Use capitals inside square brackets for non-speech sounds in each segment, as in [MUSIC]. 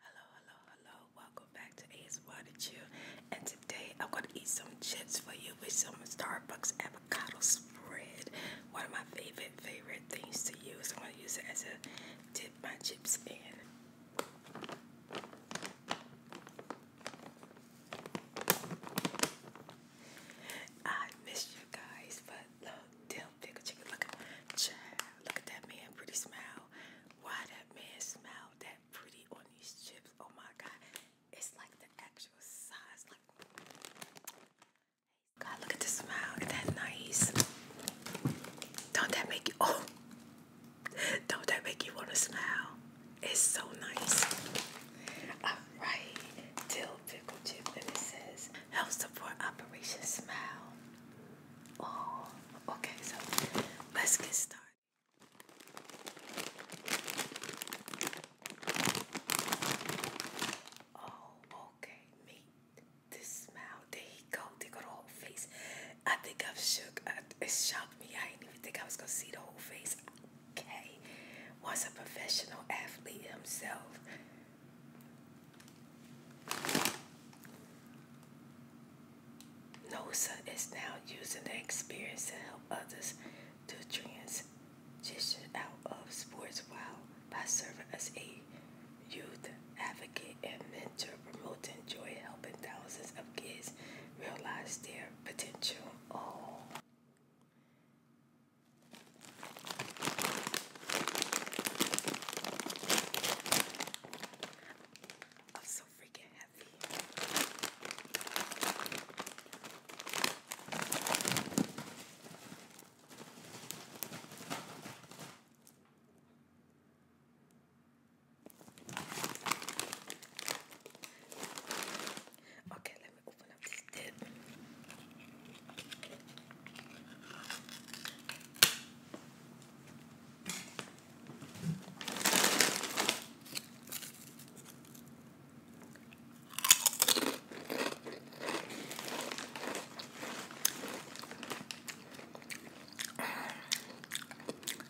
Hello, hello, hello. Welcome back to Ace Water You. And today I'm going to eat some chips for you with some Starbucks avocado spread. One of my favorite, favorite things to use. I'm going to use it as a dip my chips in. I miss you guys, but look, dill pickle chicken. look at that man, pretty smile. Why that man smile that pretty on these chips? Oh my god. It's like the actual size. Like God, look at the smile. is that nice? Don't that make you [LAUGHS] oh don't that make you want to smile? It's so nice. Alright, dill pickle chip and it says help support Operation Smile. Oh, okay, so let's get started. Oh, okay, meat. This smell. They got the whole face. I think I've shook. it shocked me. I didn't even think I was gonna see the whole face. Okay, was a professional athlete himself. NOSA is now using the experience to help others to transition out of sports while by serving as a youth advocate and mentor, promoting joy, helping thousands of kids realize their potential. Oh. I'm so freaking happy. Okay, let me open up this dip.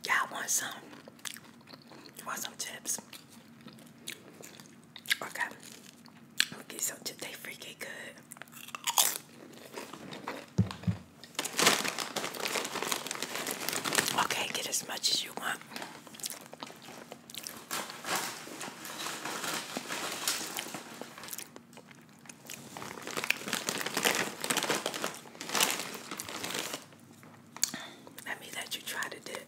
Y'all want some? Want some chips? Okay. Okay, so did they freaking good? Okay, get as much as you want. Let me let you try the dip.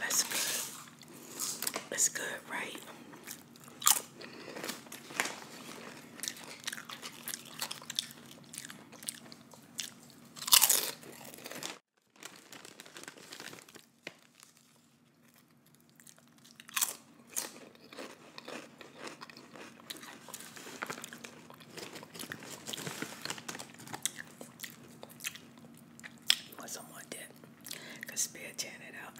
That's good. That's good, right? What someone did could spare tearing it out.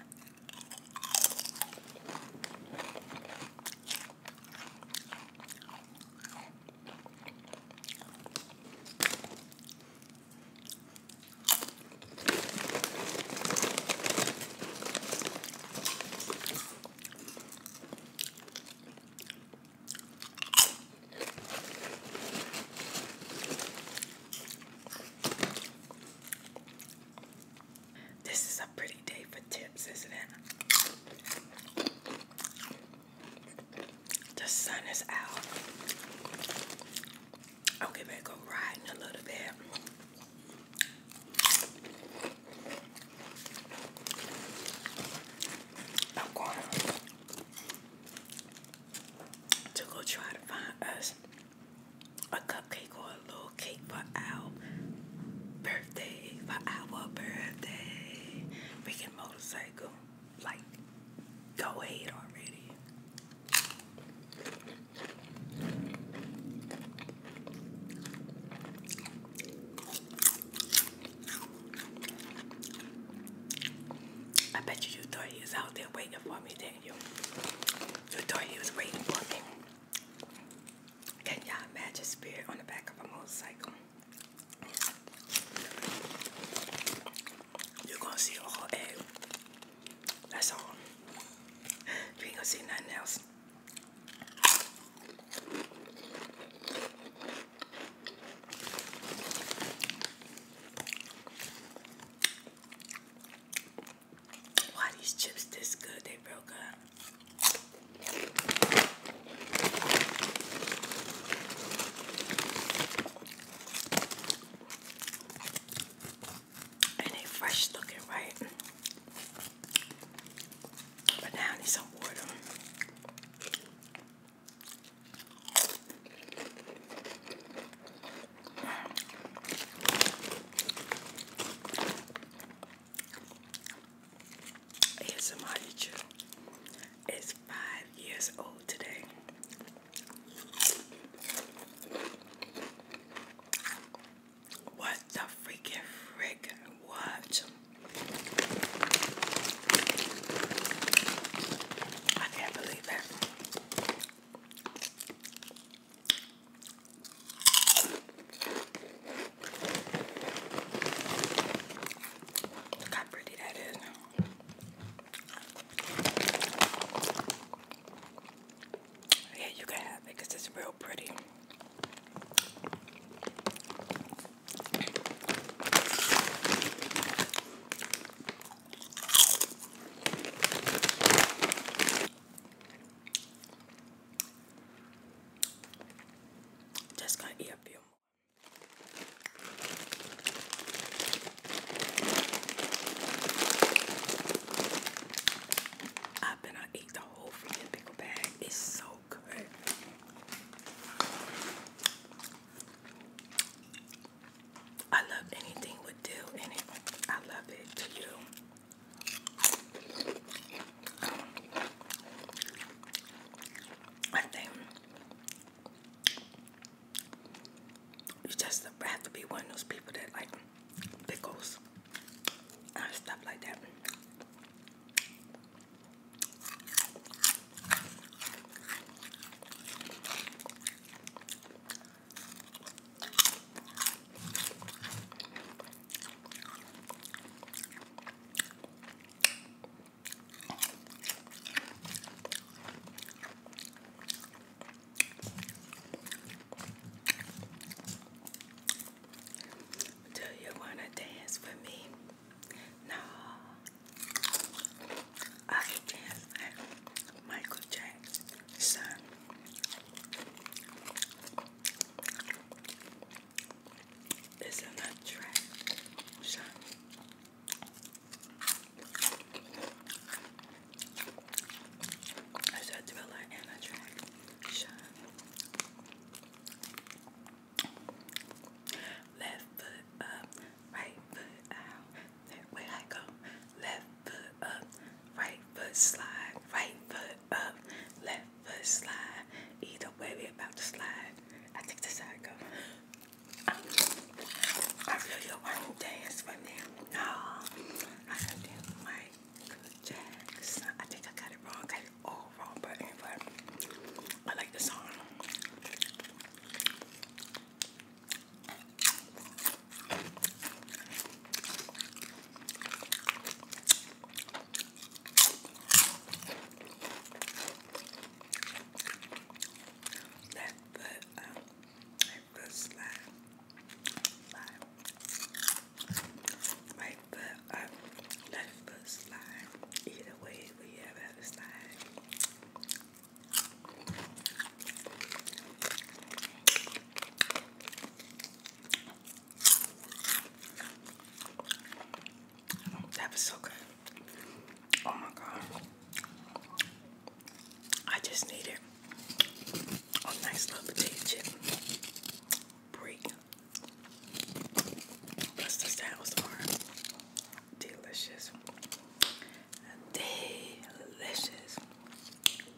This is a pretty day for tips, isn't it? The sun is out. I'll get back go riding a little bit. I'm going to go try to find us a cupcake or a little cake for our birthday, for our birthday. We can motorcycle. Like, go ahead already. I bet you you thought he was out there waiting for me, didn't you? You thought he was waiting for me. Can y'all imagine spirit on the back of a motorcycle? You're gonna see all whole egg. That's all. You ain't gonna see nothing else. Why these chips this good? They broke up. And they fresh looking, right? But now I need some water. It's a teacher It's five years old today. What the freaking frick? What? I can't believe that how pretty that is. Yeah, you can have it because it's real pretty. Just gonna eat a few more. I've I eat the whole freaking pickle bag. It's so good. I love anything with dill in it. I love it to you. I think you just have to be one of those people that like pickles and stuff like that. Do you want to dance with me? No. I dance like Michael Jackson. It's an attraction. It's a thriller and attraction. Left foot up, right foot out. That way I go. Left foot up, right foot slide, right foot up, left foot slide. Either way, we about to slide. I think that's how it I really don't want to dance right ah, now. I don't dance with I think I got it wrong. got it all wrong, but anyway, I like the song. Let the um, let the slide, slide. Right foot up, left foot slide. Either way, we have a slide. That was so good. Oh my god. I just need it. Oh, nice little potato chip break. Plus the sounds are delicious. Delicious.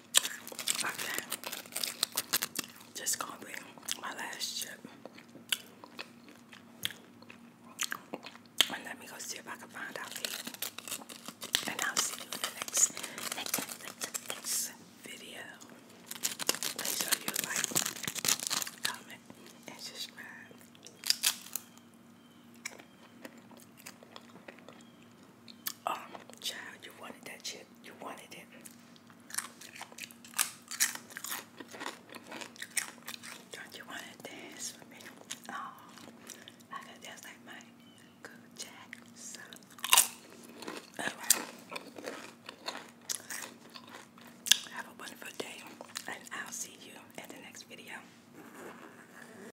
Okay. Just gonna be my last chip. let me go see if I can find out. And I'll see you in the next, next, next video. Make sure you like, comment, and subscribe. Um, child, you wanted that chip. You wanted it. Don't you want to dance with me? Oh, I got dance like my good jack Alright. Have a wonderful day, and I'll see you in the next video.